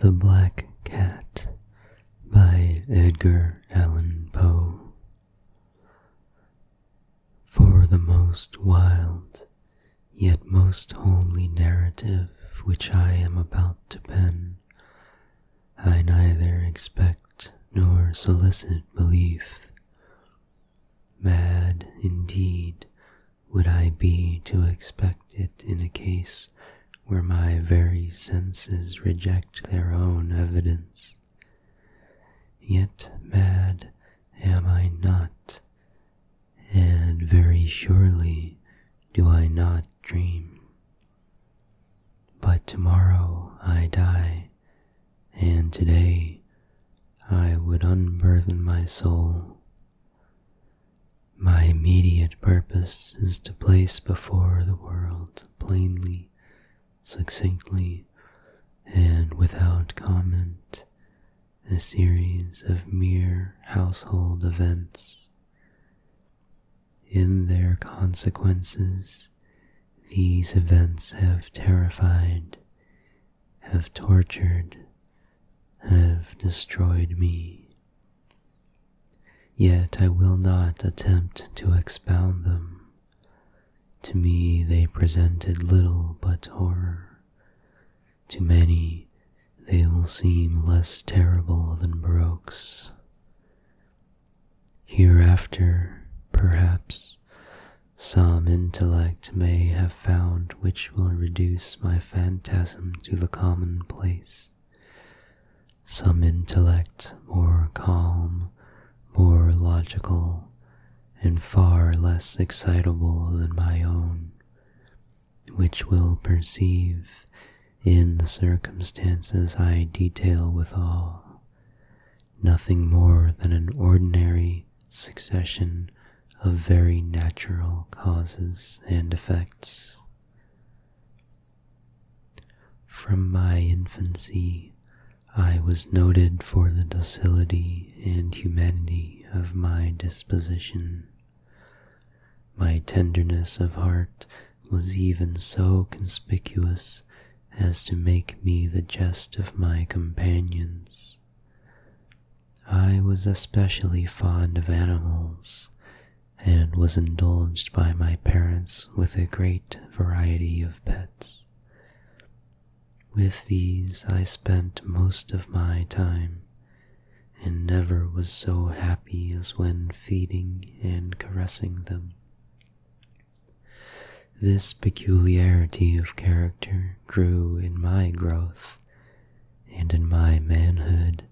The Black Cat by Edgar Allan Poe. For the most wild, yet most homely narrative which I am about to pen, I neither expect nor solicit belief. Mad, indeed, would I be to expect it in a case where my very senses reject their own evidence? Yet mad am I not, and very surely do I not dream. But tomorrow I die, and today I would unburthen my soul. My immediate purpose is to place before the world plainly, succinctly, and without comment a series of mere household events. In their consequences, these events have terrified, have tortured, have destroyed me. Yet I will not attempt to expound them. To me they presented little but horror. To many they will seem less terrible than Baroque's. Hereafter, perhaps, some intellect may have found which will reduce my phantasm to the commonplace. Some intellect more calm, more logical, and far less excitable than my own, which will perceive in the circumstances I detail withal, nothing more than an ordinary succession of very natural causes and effects. From my infancy, I was noted for the docility and humanity of my disposition. My tenderness of heart was even so conspicuous as to make me the jest of my companions. I was especially fond of animals and was indulged by my parents with a great variety of pets. With these I spent most of my time and never was so happy as when feeding and caressing them. This peculiarity of character grew in my growth and in my manhood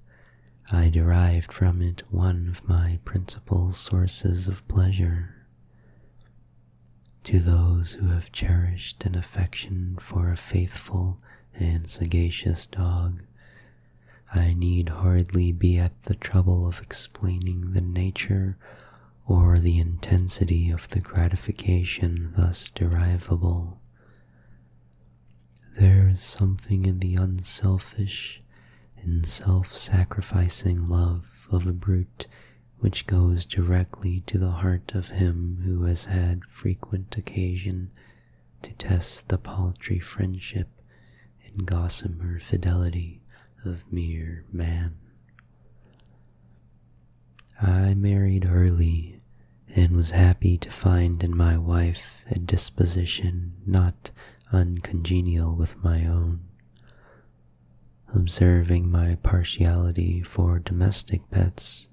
I derived from it one of my principal sources of pleasure. To those who have cherished an affection for a faithful and sagacious dog, I need hardly be at the trouble of explaining the nature or the intensity of the gratification thus derivable. There is something in the unselfish and self sacrificing love of a brute which goes directly to the heart of him who has had frequent occasion to test the paltry friendship and gossamer fidelity of mere man. I married early and was happy to find in my wife a disposition not uncongenial with my own. Observing my partiality for domestic pets,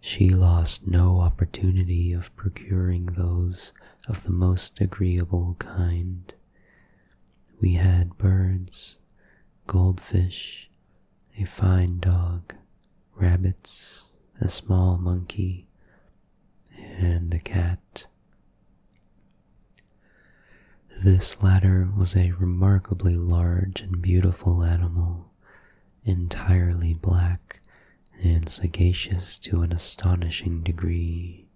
she lost no opportunity of procuring those of the most agreeable kind. We had birds, goldfish, a fine dog, rabbits, a small monkey, and a cat. This latter was a remarkably large and beautiful animal, entirely black and sagacious to an astonishing degree.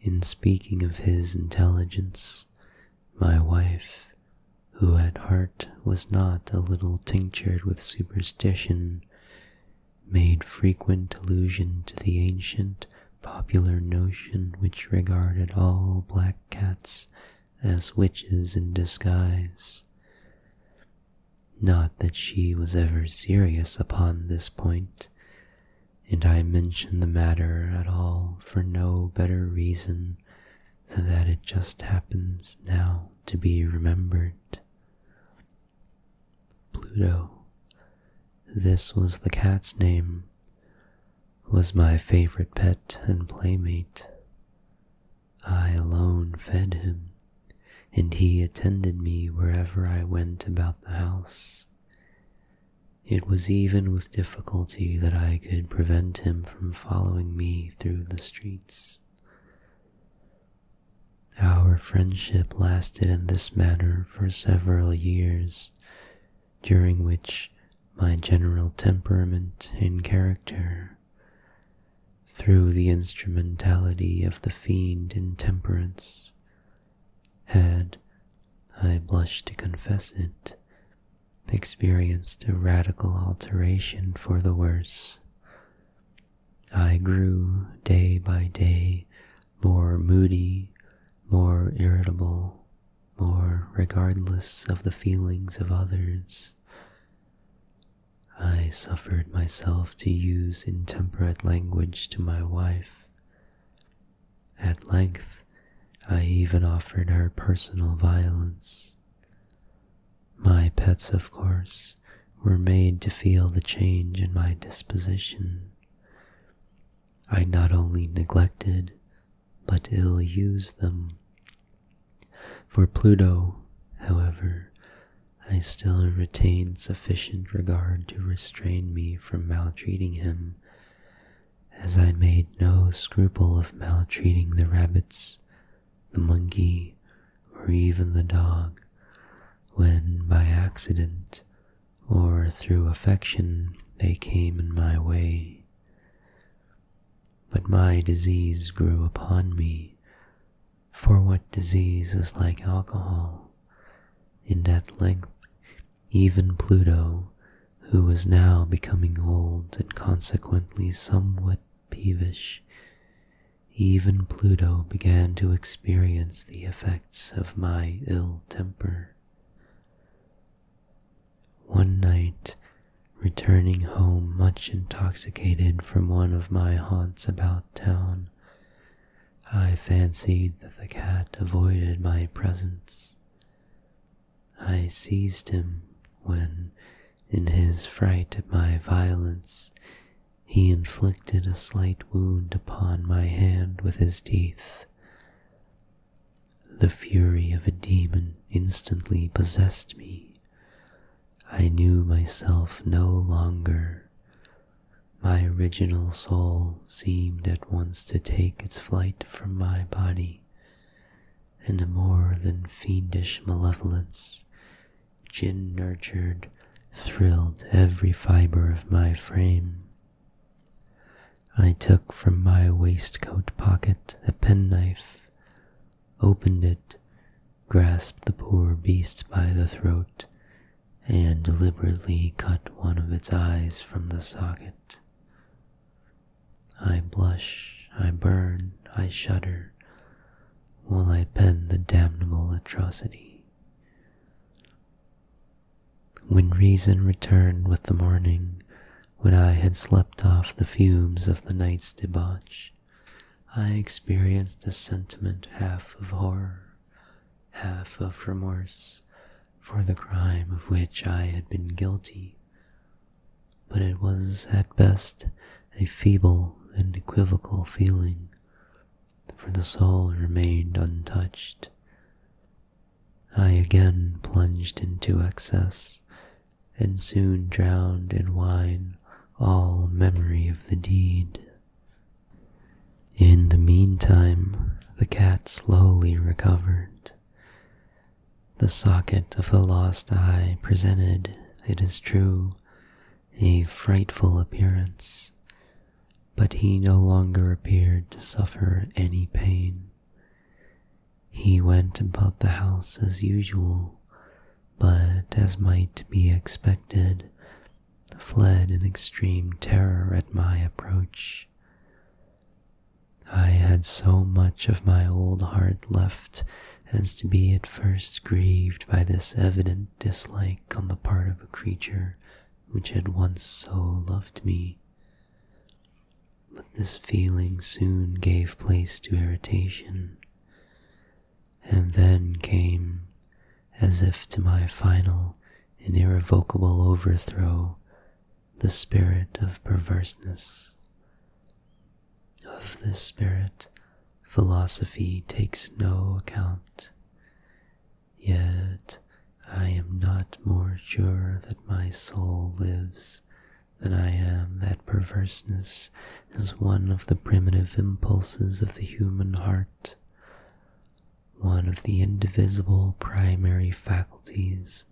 In speaking of his intelligence, my wife, who had heard was not a little tinctured with superstition, made frequent allusion to the ancient popular notion which regarded all black cats as witches in disguise. Not that she was ever serious upon this point, and I mention the matter at all for no better reason than that it just happens now to be remembered. Pluto, this was the cat's name, was my favorite pet and playmate. I alone fed him, and he attended me wherever I went about the house. It was even with difficulty that I could prevent him from following me through the streets. Our friendship lasted in this manner for several years, during which my general temperament and character, through the instrumentality of the fiend intemperance, had, I blush to confess it, experienced a radical alteration for the worse. I grew day by day more moody, more irritable, more regardless of the feelings of others. I suffered myself to use intemperate language to my wife. At length, I even offered her personal violence. My pets, of course, were made to feel the change in my disposition. I not only neglected, but ill used them. For Pluto, however, I still retained sufficient regard to restrain me from maltreating him, as I made no scruple of maltreating the rabbits the monkey, or even the dog, when by accident or through affection they came in my way. But my disease grew upon me, for what disease is like alcohol? And at length even Pluto, who was now becoming old and consequently somewhat peevish, even Pluto began to experience the effects of my ill temper. One night, returning home much intoxicated from one of my haunts about town, I fancied that the cat avoided my presence. I seized him when, in his fright at my violence, he inflicted a slight wound upon my hand with his teeth. The fury of a demon instantly possessed me. I knew myself no longer. My original soul seemed at once to take its flight from my body, and a more than fiendish malevolence gin nurtured, thrilled every fibre of my frame. I took from my waistcoat pocket a penknife, opened it, grasped the poor beast by the throat, and deliberately cut one of its eyes from the socket. I blush, I burn, I shudder while I pen the damnable atrocity. When reason returned with the morning, when I had slept off the fumes of the night's debauch, I experienced a sentiment half of horror, half of remorse for the crime of which I had been guilty, but it was at best a feeble and equivocal feeling, for the soul remained untouched. I again plunged into excess, and soon drowned in wine all memory of the deed. In the meantime, the cat slowly recovered. The socket of the lost eye presented, it is true, a frightful appearance, but he no longer appeared to suffer any pain. He went about the house as usual, but, as might be expected, fled in extreme terror at my approach. I had so much of my old heart left as to be at first grieved by this evident dislike on the part of a creature which had once so loved me. But this feeling soon gave place to irritation, and then came, as if to my final and irrevocable overthrow, the spirit of perverseness. Of the spirit, philosophy takes no account. Yet I am not more sure that my soul lives than I am that perverseness is one of the primitive impulses of the human heart, one of the indivisible primary faculties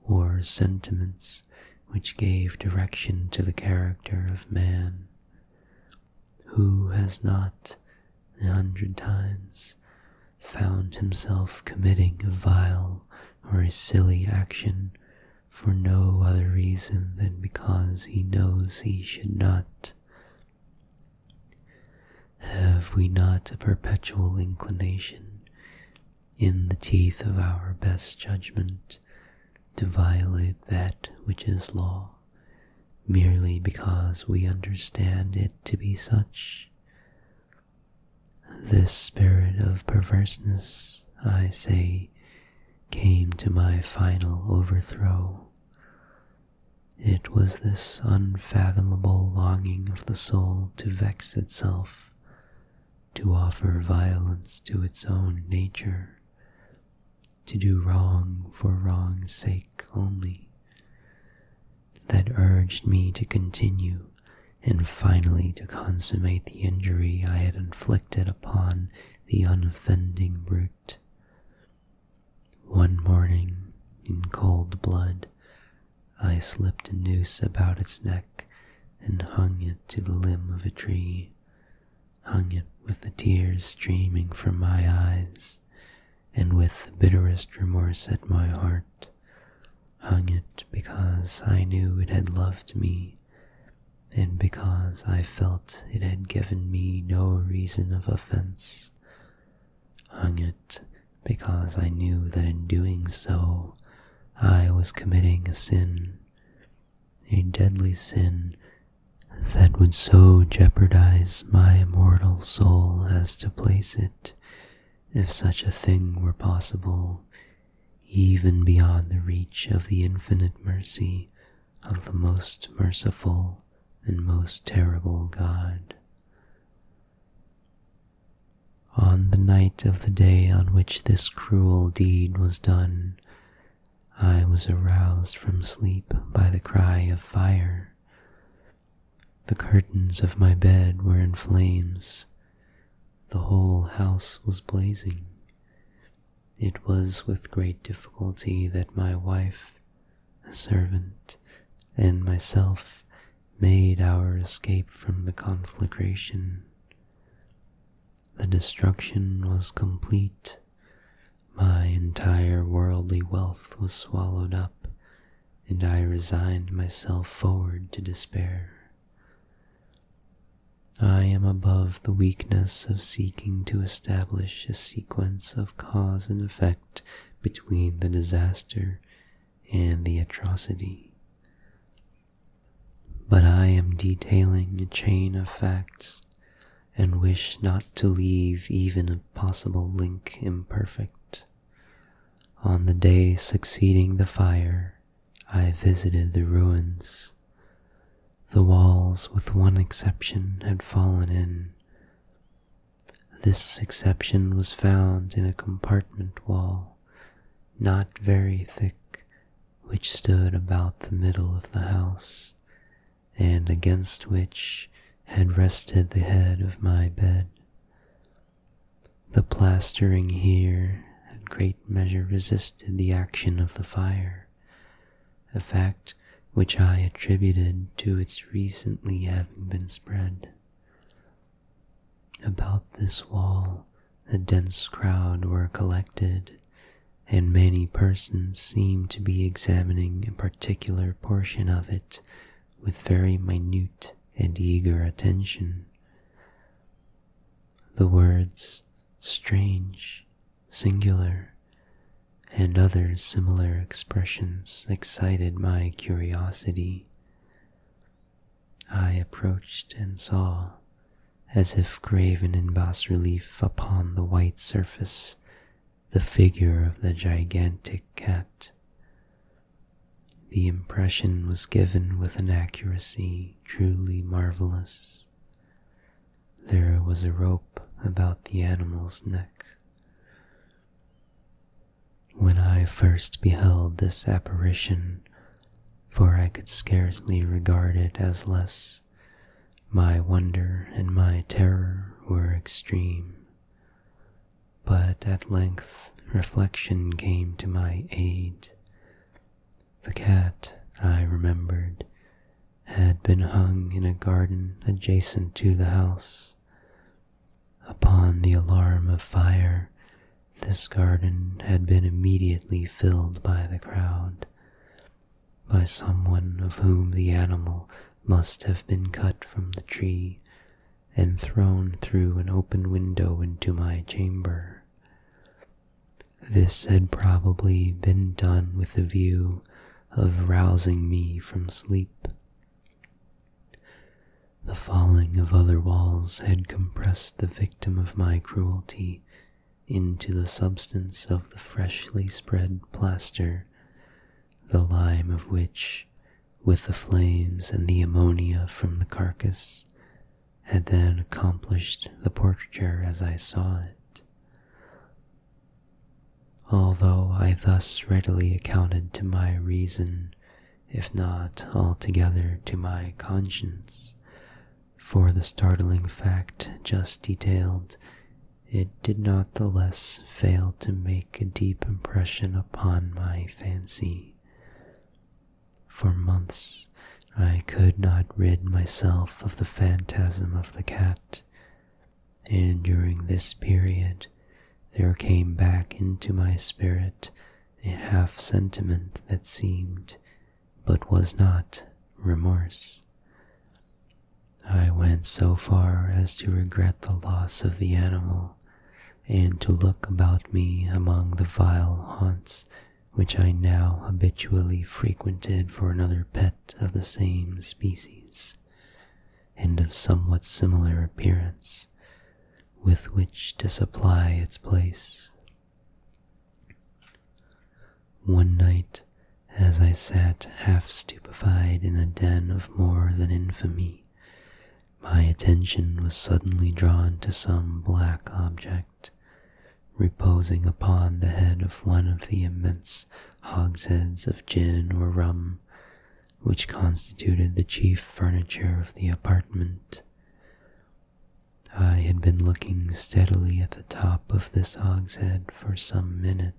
or sentiments which gave direction to the character of man. Who has not, a hundred times, found himself committing a vile or a silly action for no other reason than because he knows he should not? Have we not a perpetual inclination, in the teeth of our best judgment, to violate that which is law merely because we understand it to be such. This spirit of perverseness, I say, came to my final overthrow. It was this unfathomable longing of the soul to vex itself, to offer violence to its own nature, to do wrong for wrong's sake only, that urged me to continue and finally to consummate the injury I had inflicted upon the unoffending brute. One morning, in cold blood, I slipped a noose about its neck and hung it to the limb of a tree, hung it with the tears streaming from my eyes, and with the bitterest remorse at my heart, hung it because I knew it had loved me, and because I felt it had given me no reason of offense, hung it because I knew that in doing so I was committing a sin, a deadly sin that would so jeopardize my immortal soul as to place it, if such a thing were possible, even beyond the reach of the infinite mercy of the most merciful and most terrible God. On the night of the day on which this cruel deed was done, I was aroused from sleep by the cry of fire. The curtains of my bed were in flames. The whole house was blazing. It was with great difficulty that my wife, a servant, and myself made our escape from the conflagration. The destruction was complete. My entire worldly wealth was swallowed up, and I resigned myself forward to despair. I am above the weakness of seeking to establish a sequence of cause and effect between the disaster and the atrocity. But I am detailing a chain of facts and wish not to leave even a possible link imperfect. On the day succeeding the fire, I visited the ruins. The walls, with one exception, had fallen in. This exception was found in a compartment wall, not very thick, which stood about the middle of the house, and against which had rested the head of my bed. The plastering here in great measure resisted the action of the fire, a fact which I attributed to its recently having been spread. About this wall, a dense crowd were collected, and many persons seemed to be examining a particular portion of it with very minute and eager attention. The words strange, singular, and other similar expressions excited my curiosity. I approached and saw as if graven in bas relief upon the white surface, the figure of the gigantic cat. The impression was given with an accuracy truly marvelous. There was a rope about the animal's neck. When I first beheld this apparition, for I could scarcely regard it as less my wonder and my terror were extreme. But at length reflection came to my aid. The cat, I remembered, had been hung in a garden adjacent to the house. Upon the alarm of fire, this garden had been immediately filled by the crowd, by someone of whom the animal must have been cut from the tree and thrown through an open window into my chamber. This had probably been done with the view of rousing me from sleep. The falling of other walls had compressed the victim of my cruelty into the substance of the freshly spread plaster, the lime of which, with the flames and the ammonia from the carcass, had then accomplished the portraiture as I saw it. Although I thus readily accounted to my reason, if not altogether to my conscience, for the startling fact just detailed it did not the less fail to make a deep impression upon my fancy. For months I could not rid myself of the phantasm of the cat, and during this period there came back into my spirit a half sentiment that seemed, but was not, remorse. I went so far as to regret the loss of the animal, and to look about me among the vile haunts which I now habitually frequented for another pet of the same species, and of somewhat similar appearance, with which to supply its place. One night, as I sat half stupefied in a den of more than infamy, my attention was suddenly drawn to some black object reposing upon the head of one of the immense hogsheads of gin or rum which constituted the chief furniture of the apartment. I had been looking steadily at the top of this hogshead for some minutes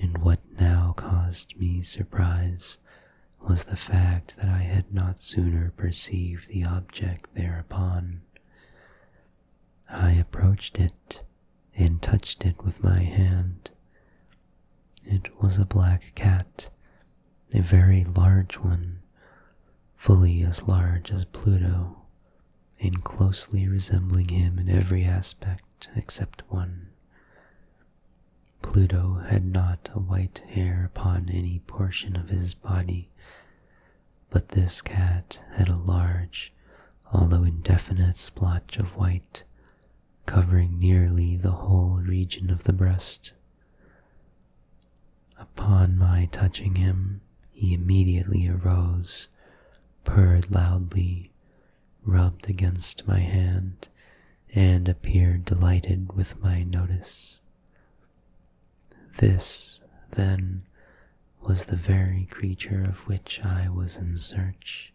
and what now caused me surprise was the fact that I had not sooner perceived the object thereupon. I approached it and touched it with my hand. It was a black cat, a very large one, fully as large as Pluto, and closely resembling him in every aspect except one. Pluto had not a white hair upon any portion of his body, but this cat had a large, although indefinite splotch of white, covering nearly the whole region of the breast. Upon my touching him, he immediately arose, purred loudly, rubbed against my hand, and appeared delighted with my notice. This, then, was the very creature of which I was in search.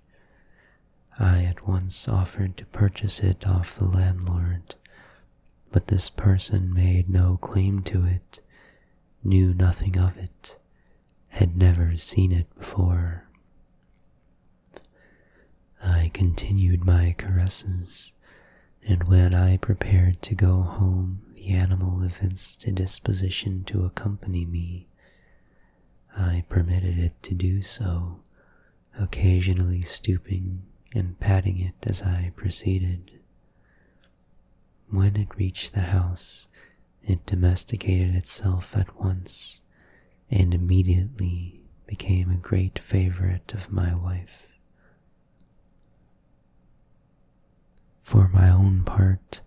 I at once offered to purchase it off the landlord, but this person made no claim to it, knew nothing of it, had never seen it before. I continued my caresses, and when I prepared to go home, the animal evinced a disposition to accompany me. I permitted it to do so, occasionally stooping and patting it as I proceeded. When it reached the house, it domesticated itself at once and immediately became a great favorite of my wife. For my own part,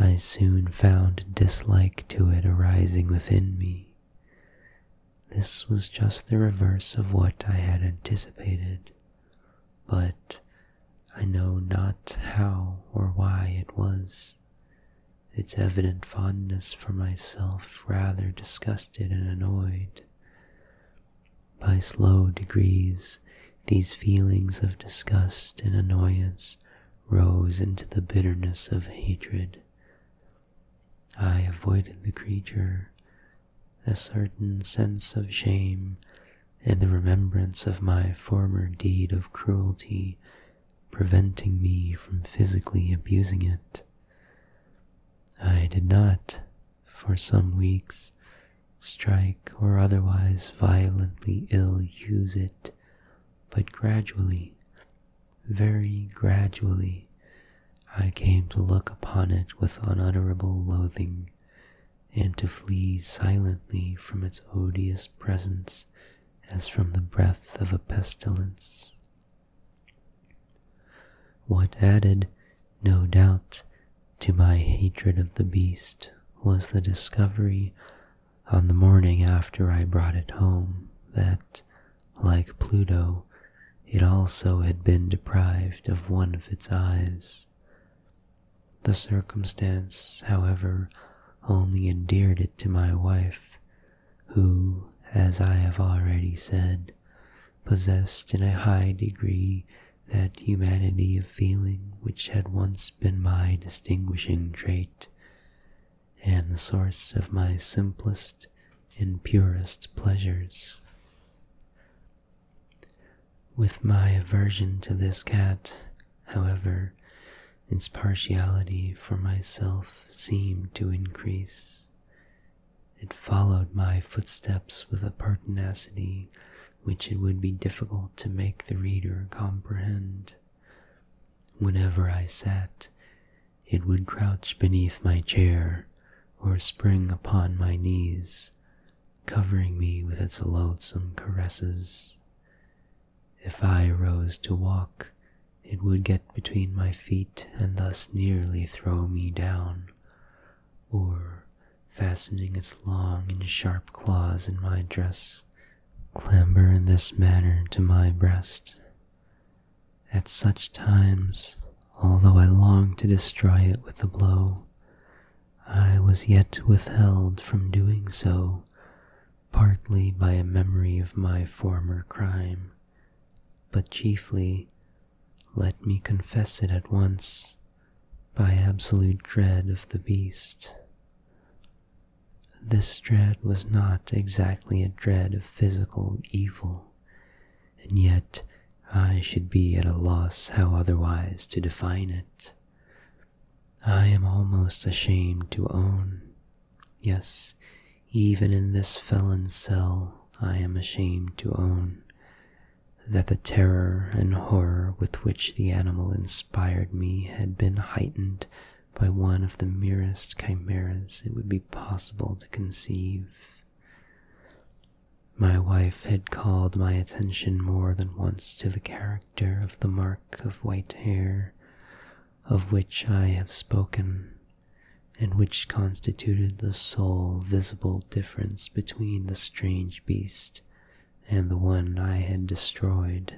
I soon found dislike to it arising within me. This was just the reverse of what I had anticipated, but I know not how or why it was. Its evident fondness for myself rather disgusted and annoyed. By slow degrees, these feelings of disgust and annoyance rose into the bitterness of hatred. I avoided the creature. A certain sense of shame and the remembrance of my former deed of cruelty preventing me from physically abusing it. I did not, for some weeks, strike or otherwise violently ill use it, but gradually, very gradually, I came to look upon it with unutterable loathing and to flee silently from its odious presence as from the breath of a pestilence. What added, no doubt, to my hatred of the beast was the discovery on the morning after I brought it home that, like Pluto, it also had been deprived of one of its eyes. The circumstance, however, only endeared it to my wife, who, as I have already said, possessed in a high degree that humanity of feeling which had once been my distinguishing trait, and the source of my simplest and purest pleasures. With my aversion to this cat, however, its partiality for myself seemed to increase. It followed my footsteps with a pertinacity which it would be difficult to make the reader comprehend. Whenever I sat, it would crouch beneath my chair or spring upon my knees, covering me with its loathsome caresses. If I rose to walk, it would get between my feet and thus nearly throw me down, or, fastening its long and sharp claws in my dress, clamber in this manner to my breast. At such times, although I longed to destroy it with a blow, I was yet withheld from doing so, partly by a memory of my former crime, but chiefly, let me confess it at once, by absolute dread of the beast. This dread was not exactly a dread of physical evil, and yet I should be at a loss how otherwise to define it. I am almost ashamed to own. Yes, even in this felon's cell, I am ashamed to own that the terror and horror with which the animal inspired me had been heightened by one of the merest chimeras it would be possible to conceive. My wife had called my attention more than once to the character of the mark of white hair, of which I have spoken, and which constituted the sole visible difference between the strange beast and the one I had destroyed.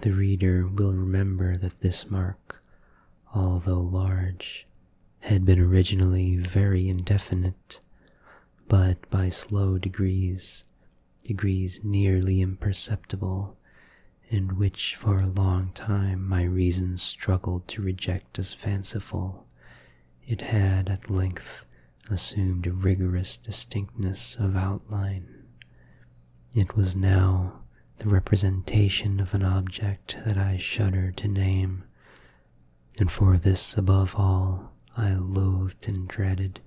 The reader will remember that this mark, although large, had been originally very indefinite, but by slow degrees, degrees nearly imperceptible, and which for a long time my reason struggled to reject as fanciful, it had at length assumed a rigorous distinctness of outline. It was now the representation of an object that I shuddered to name, and for this above all I loathed and dreaded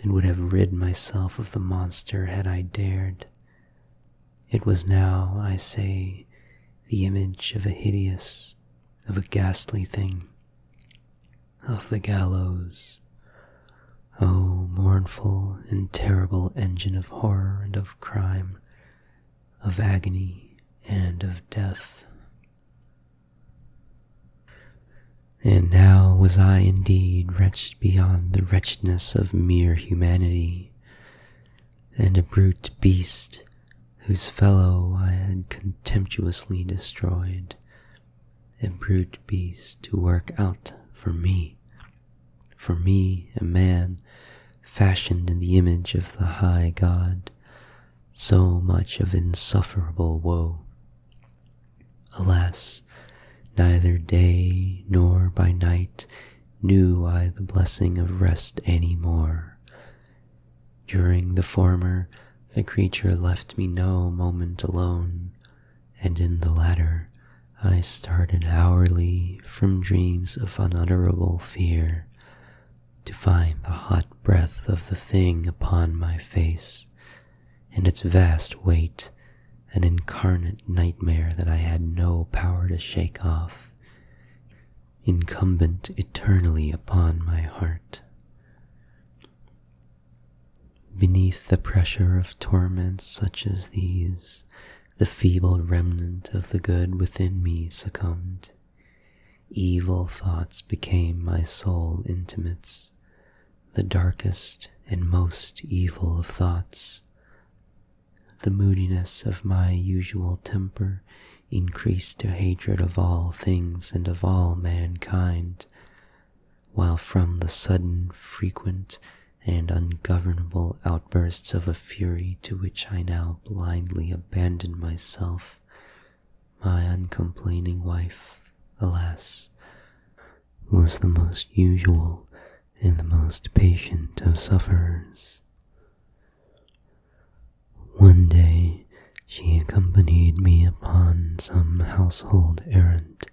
and would have rid myself of the monster had I dared. It was now, I say, the image of a hideous, of a ghastly thing, of the gallows. O mournful and terrible engine of horror and of crime, of agony and of death. And now was I indeed wretched beyond the wretchedness of mere humanity, and a brute beast whose fellow I had contemptuously destroyed, a brute beast to work out for me, for me a man fashioned in the image of the high God, so much of insufferable woe, Alas, neither day nor by night knew I the blessing of rest any more. During the former, the creature left me no moment alone, and in the latter, I started hourly from dreams of unutterable fear to find the hot breath of the thing upon my face and its vast weight an incarnate nightmare that I had no power to shake off, incumbent eternally upon my heart. Beneath the pressure of torments such as these, the feeble remnant of the good within me succumbed. Evil thoughts became my sole intimates, the darkest and most evil of thoughts. The moodiness of my usual temper increased to hatred of all things and of all mankind, while from the sudden, frequent, and ungovernable outbursts of a fury to which I now blindly abandoned myself, my uncomplaining wife, alas, was the most usual and the most patient of sufferers. One day she accompanied me upon some household errand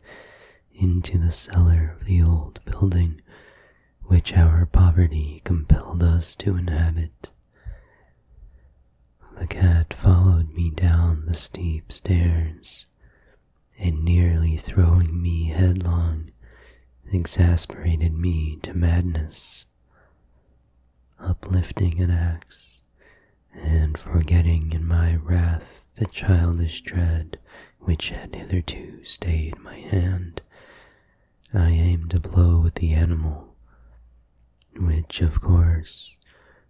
into the cellar of the old building which our poverty compelled us to inhabit. The cat followed me down the steep stairs, and nearly throwing me headlong, exasperated me to madness. Uplifting an axe, and forgetting in my wrath the childish dread which had hitherto stayed my hand, I aimed a blow at the animal, which, of course,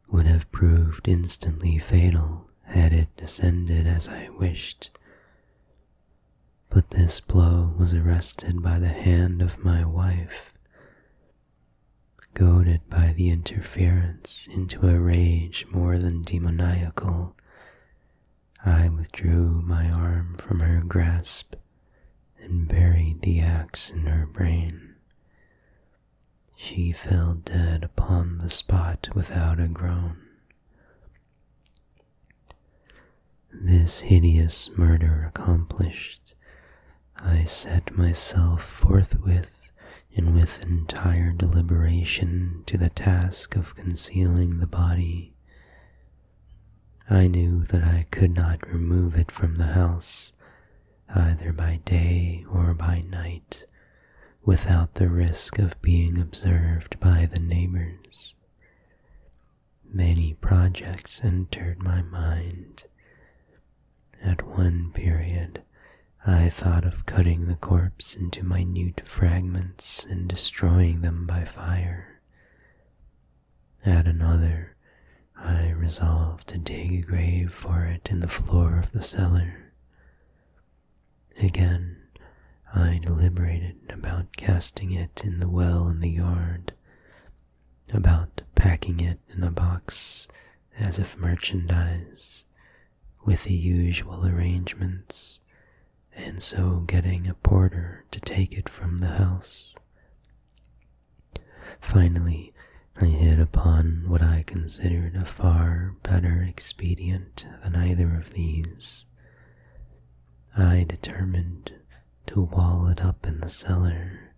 would have proved instantly fatal had it descended as I wished. But this blow was arrested by the hand of my wife. Goaded by the interference into a rage more than demoniacal, I withdrew my arm from her grasp and buried the axe in her brain. She fell dead upon the spot without a groan. This hideous murder accomplished, I set myself forthwith and with entire deliberation to the task of concealing the body. I knew that I could not remove it from the house, either by day or by night, without the risk of being observed by the neighbors. Many projects entered my mind. At one period, I thought of cutting the corpse into minute fragments and destroying them by fire. At another, I resolved to dig a grave for it in the floor of the cellar. Again, I deliberated about casting it in the well in the yard, about packing it in a box as if merchandise, with the usual arrangements, and so getting a porter to take it from the house. Finally, I hit upon what I considered a far better expedient than either of these. I determined to wall it up in the cellar,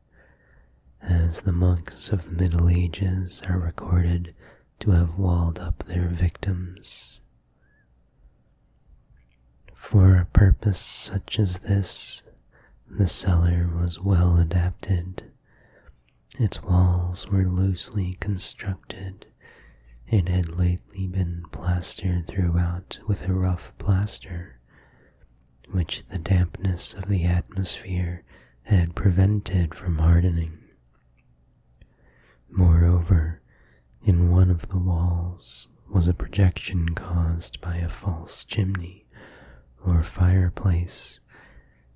as the monks of the Middle Ages are recorded to have walled up their victims. For a purpose such as this, the cellar was well adapted, its walls were loosely constructed. It had lately been plastered throughout with a rough plaster, which the dampness of the atmosphere had prevented from hardening. Moreover, in one of the walls was a projection caused by a false chimney or fireplace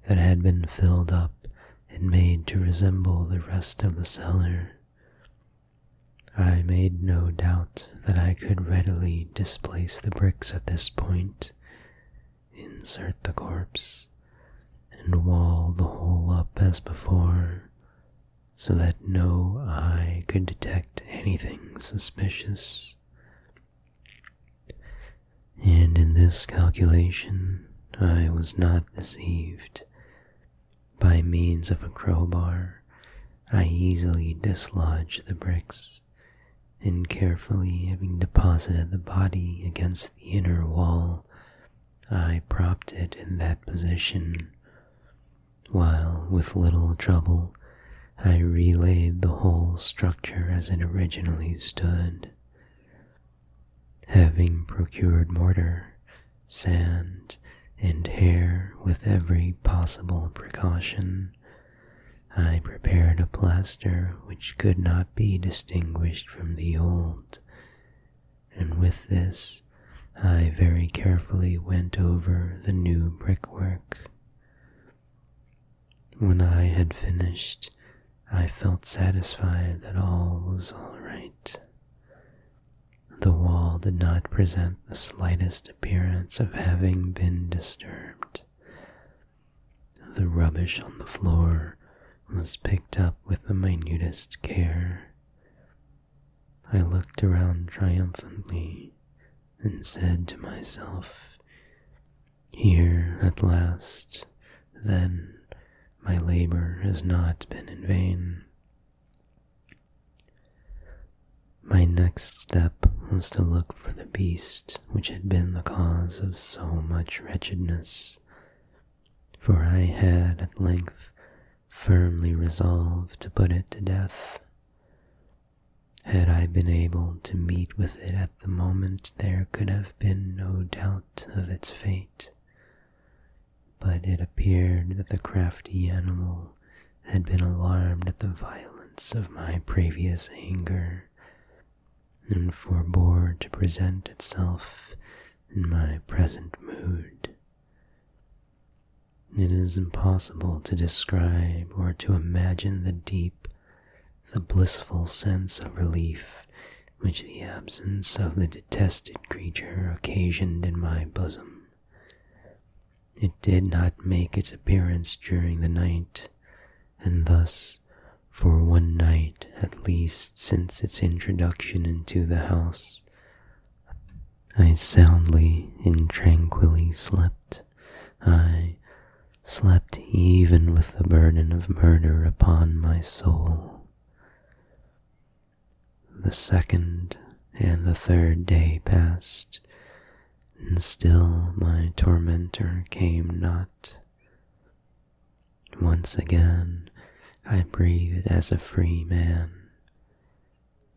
that had been filled up and made to resemble the rest of the cellar. I made no doubt that I could readily displace the bricks at this point, insert the corpse, and wall the hole up as before, so that no eye could detect anything suspicious. And in this calculation I was not deceived. By means of a crowbar I easily dislodged the bricks, and carefully having deposited the body against the inner wall, I propped it in that position, while with little trouble I relaid the whole structure as it originally stood. Having procured mortar, sand, and hair with every possible precaution, I prepared a plaster which could not be distinguished from the old, and with this I very carefully went over the new brickwork. When I had finished, I felt satisfied that all was all right. The wall did not present the slightest appearance of having been disturbed. The rubbish on the floor was picked up with the minutest care. I looked around triumphantly and said to myself, here at last, then, my labor has not been in vain. My next step was to look for the beast which had been the cause of so much wretchedness, for I had at length firmly resolved to put it to death. Had I been able to meet with it at the moment there could have been no doubt of its fate, but it appeared that the crafty animal had been alarmed at the violence of my previous anger, and forbore to present itself in my present mood. It is impossible to describe or to imagine the deep the blissful sense of relief which the absence of the detested creature occasioned in my bosom. It did not make its appearance during the night, and thus, for one night at least since its introduction into the house, I soundly and tranquilly slept, I, slept even with the burden of murder upon my soul. The second and the third day passed, and still my tormentor came not. Once again I breathed as a free man.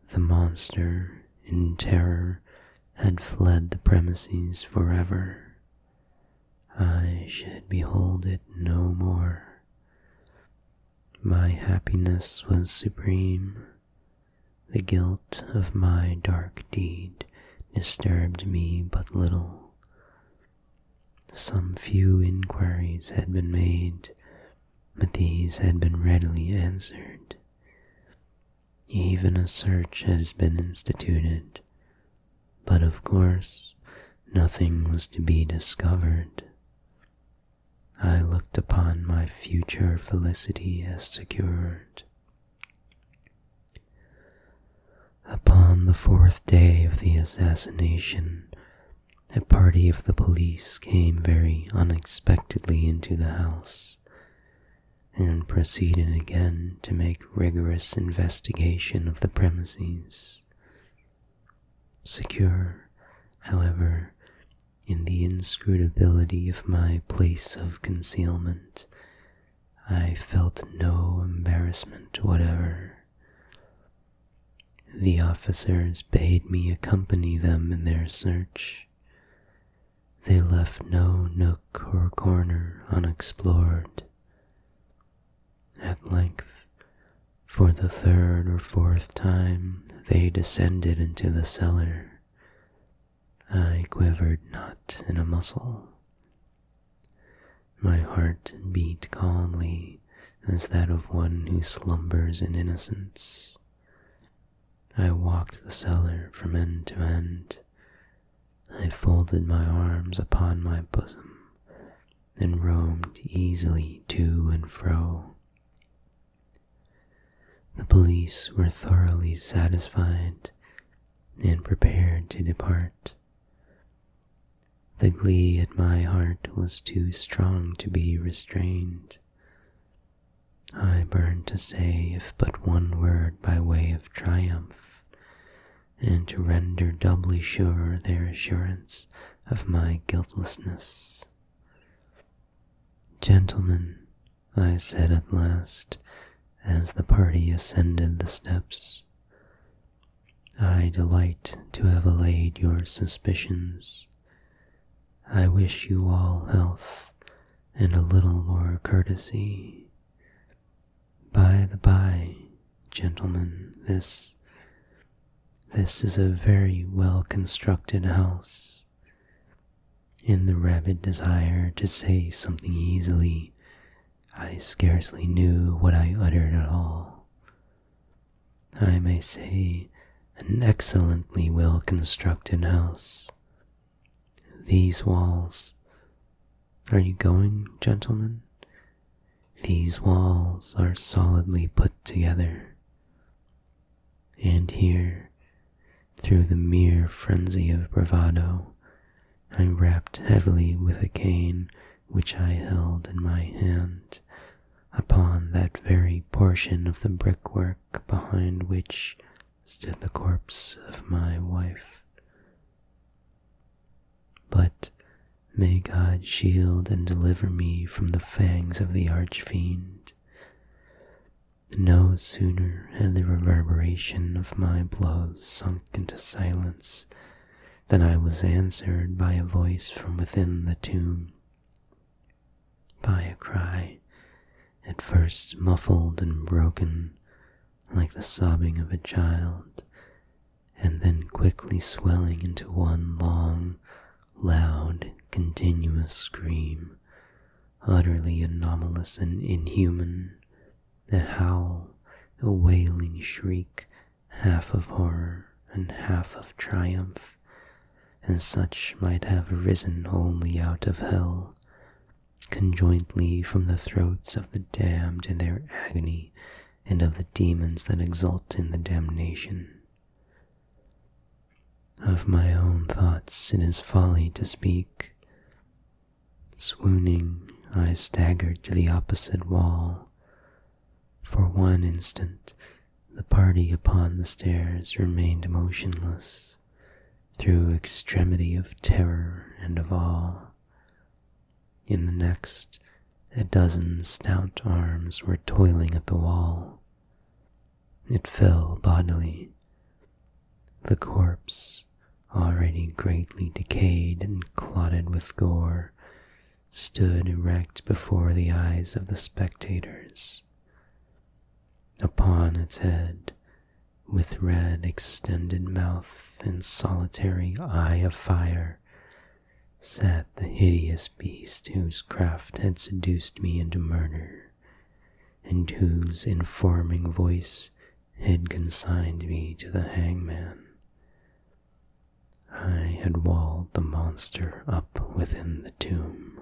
The monster, in terror, had fled the premises forever. I should behold it no more. My happiness was supreme. The guilt of my dark deed disturbed me but little. Some few inquiries had been made, but these had been readily answered. Even a search has been instituted, but of course, nothing was to be discovered. I looked upon my future felicity as secured. Upon the fourth day of the assassination, a party of the police came very unexpectedly into the house and proceeded again to make rigorous investigation of the premises. Secure, however, in the inscrutability of my place of concealment, I felt no embarrassment whatever. The officers bade me accompany them in their search. They left no nook or corner unexplored. At length, for the third or fourth time, they descended into the cellar. I quivered not in a muscle. My heart beat calmly as that of one who slumbers in innocence. I walked the cellar from end to end, I folded my arms upon my bosom and roamed easily to and fro. The police were thoroughly satisfied and prepared to depart. The glee at my heart was too strong to be restrained. I burned to say if but one word by way of triumph, and to render doubly sure their assurance of my guiltlessness. Gentlemen, I said at last, as the party ascended the steps, I delight to have allayed your suspicions. I wish you all health and a little more courtesy. By the by, gentlemen, this this is a very well constructed house. In the rabid desire to say something easily, I scarcely knew what I uttered at all. I may say, an excellently well constructed house. These walls, are you going, gentlemen? These walls are solidly put together. And here, through the mere frenzy of bravado, I rapped heavily with a cane which I held in my hand upon that very portion of the brickwork behind which stood the corpse of my wife. But may God shield and deliver me from the fangs of the arch fiend. No sooner had the reverberation of my blows sunk into silence than I was answered by a voice from within the tomb, by a cry, at first muffled and broken, like the sobbing of a child, and then quickly swelling into one long, loud, continuous scream, utterly anomalous and inhuman, a howl, a wailing shriek, half of horror and half of triumph, and such might have arisen only out of hell conjointly from the throats of the damned in their agony and of the demons that exult in the damnation. Of my own thoughts it is folly to speak. Swooning, I staggered to the opposite wall. For one instant, the party upon the stairs remained motionless, through extremity of terror and of awe. In the next, a dozen stout arms were toiling at the wall. It fell bodily. The corpse, already greatly decayed and clotted with gore, stood erect before the eyes of the spectators. Upon its head with red extended mouth and solitary eye of fire, sat the hideous beast whose craft had seduced me into murder, and whose informing voice had consigned me to the hangman. I had walled the monster up within the tomb.